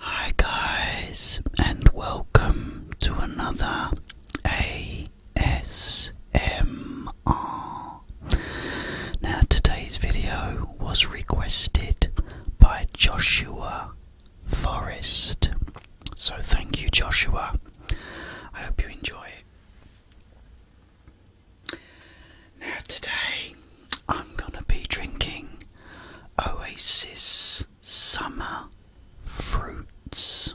Hi, guys, and welcome to another ASM them Now, today's video was requested by Joshua Forrest. So, thank you, Joshua. I hope you enjoy it. Now, today I'm going to be drinking Oasis Summer Fruits.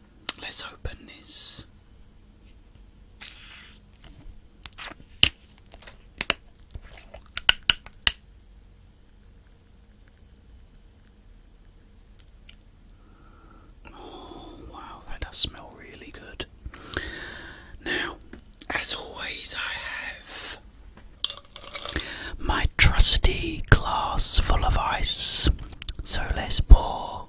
Let's open this. Oh, wow, that does smell really good. Now, as always, I have my trusty glass full of ice. So let's pour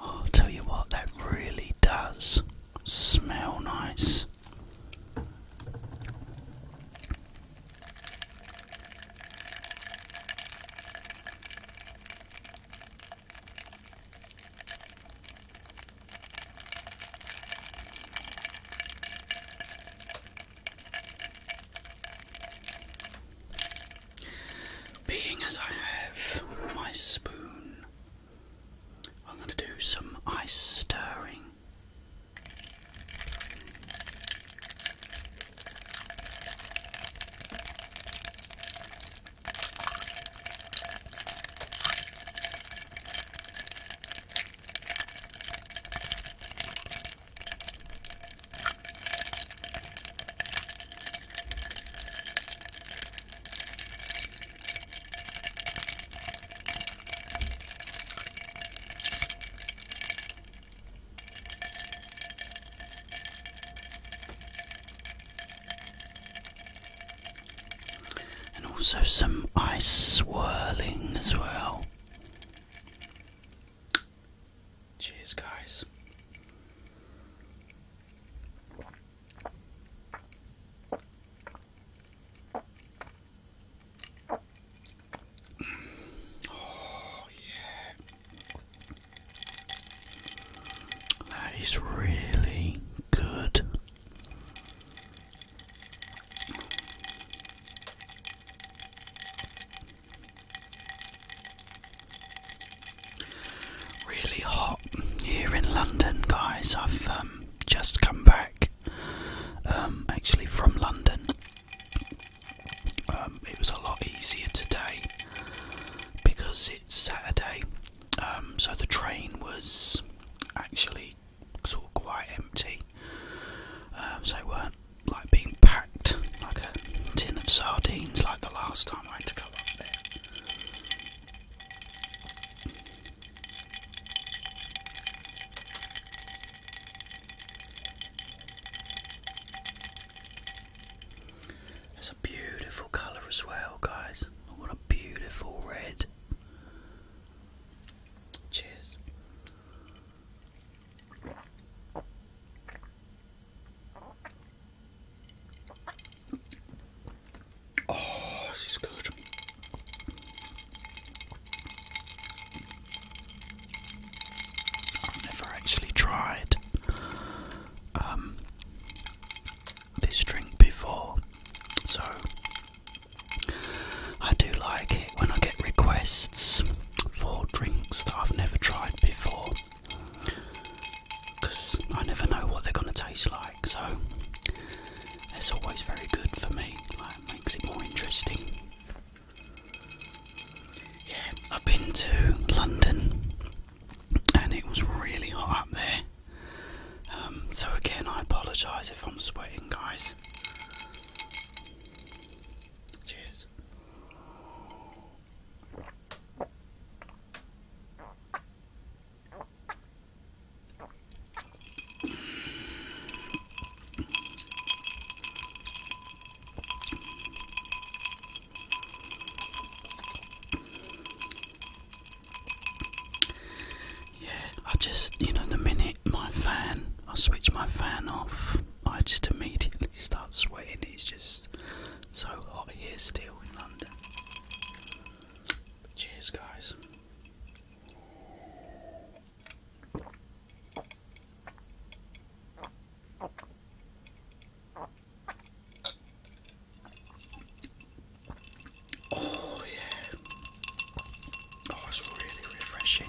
I'll tell you what, that really does smell nice. Being as I have my spoon, I'm going to do some ice stirring. And also some ice swirling as well. Cheers, guys. Oh, yeah. That is really good. Really hot here in London, guys. I've um, just come back um, actually from London. Um, it was a lot easier today because it's Saturday, so the train was actually sort of quite empty, uh, so weren't like being packed like a tin of sardines like the last time I had to go up there. That's a beautiful colour as well, guys. What a beautiful red. Cheers. Oh, this is good. I've never actually tried um, this drink before, so I do like it when I get requests for drinks that I've never tried before because I never know what they're going to taste like, so it's always very good for me, like, makes it more interesting. Yeah, I've been to London and it was really hot up there. Um, so, again, I apologise if I'm sweating, guys. Cheers. Yeah, I just, you know, the minute my fan, I switch my fan off, I just immediately start sweating it's just so hot here still in London. cheers, guys. Oh, yeah. Oh, it's really refreshing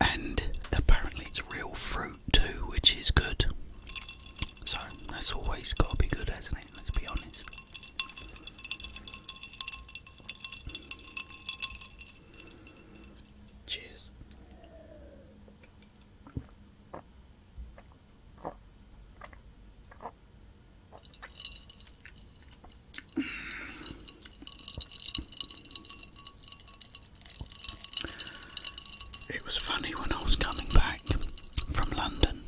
and apparently it's real fruit too, which is good. So that's always got to be good, hasn't it? Let's be honest. Cheers. It was funny when I was coming back from London.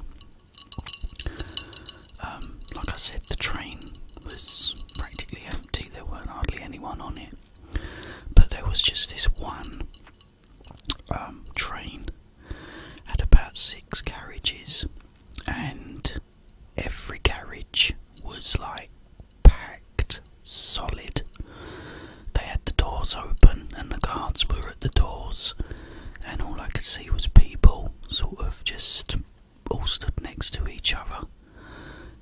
Um, like I said, the train was practically empty, there weren't hardly anyone on it. But there was just this one um, train, had about six carriages, and every carriage was like packed solid. They had the doors open and the guards were at the doors, and all I could see was people sort of just all stood next to each other.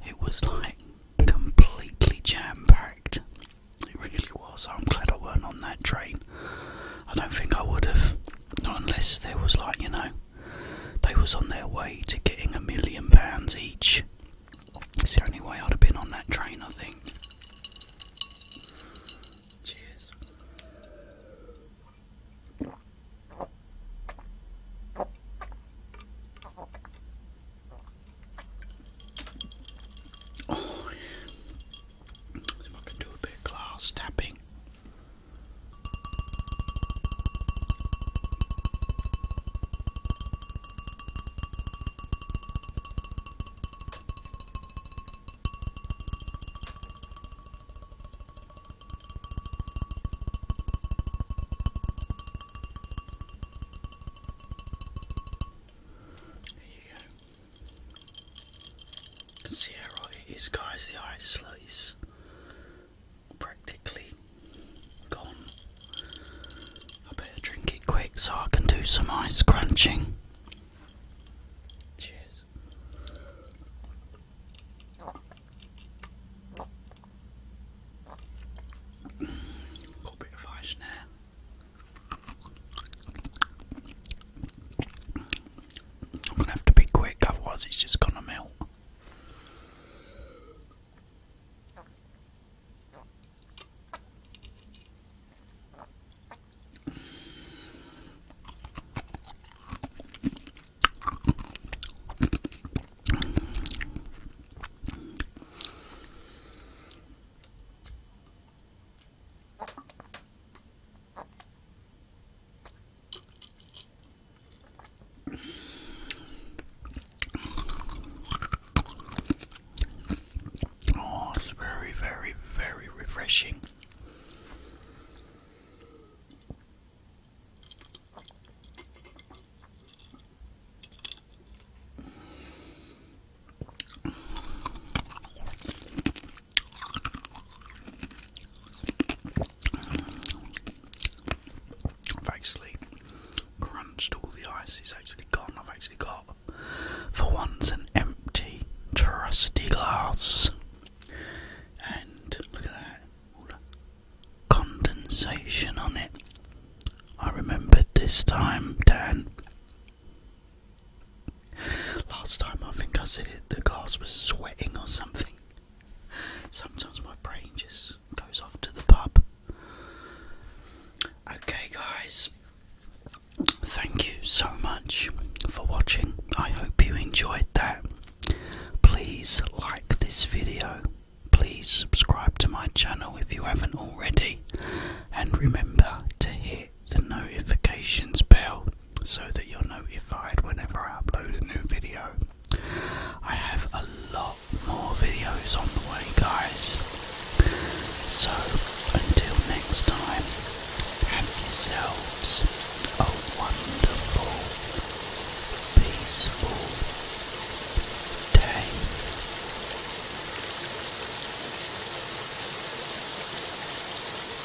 It was like completely jam packed. It really was. I'm glad I weren't on that train. I don't think I would have. Not unless there was, like, you know, they was on their way to getting a million pounds each. It's the only way I'd have been on that train, I think. Cheers. Oh, I can do a bit of glass tapping. There you go. You can see how right it is, guys. The eye slice practically gone. I better drink it quick so I can do some ice crunching. Cheers. Got a bit of ice now. I'm gonna have to be quick, otherwise it's just gonna melt. Oh, it's very, very, very refreshing. I've actually crunched all the ice, it's actually gone. I've actually got, for once, an empty, trusty glass. And look at that, condensation on it. I remember this time, Dan. Last time I think I said it, the glass was sweating or something. Sometimes my brain just goes off to the pub. Okay, guys, thank you so much for watching. I hope you enjoyed that. Please like this video. Please subscribe to my channel if you haven't already. And remember to hit the notifications bell so that you're notified whenever I upload a new video. I have a lot more videos on the way, guys. So until next time, have yourselves a wonderful, peaceful day.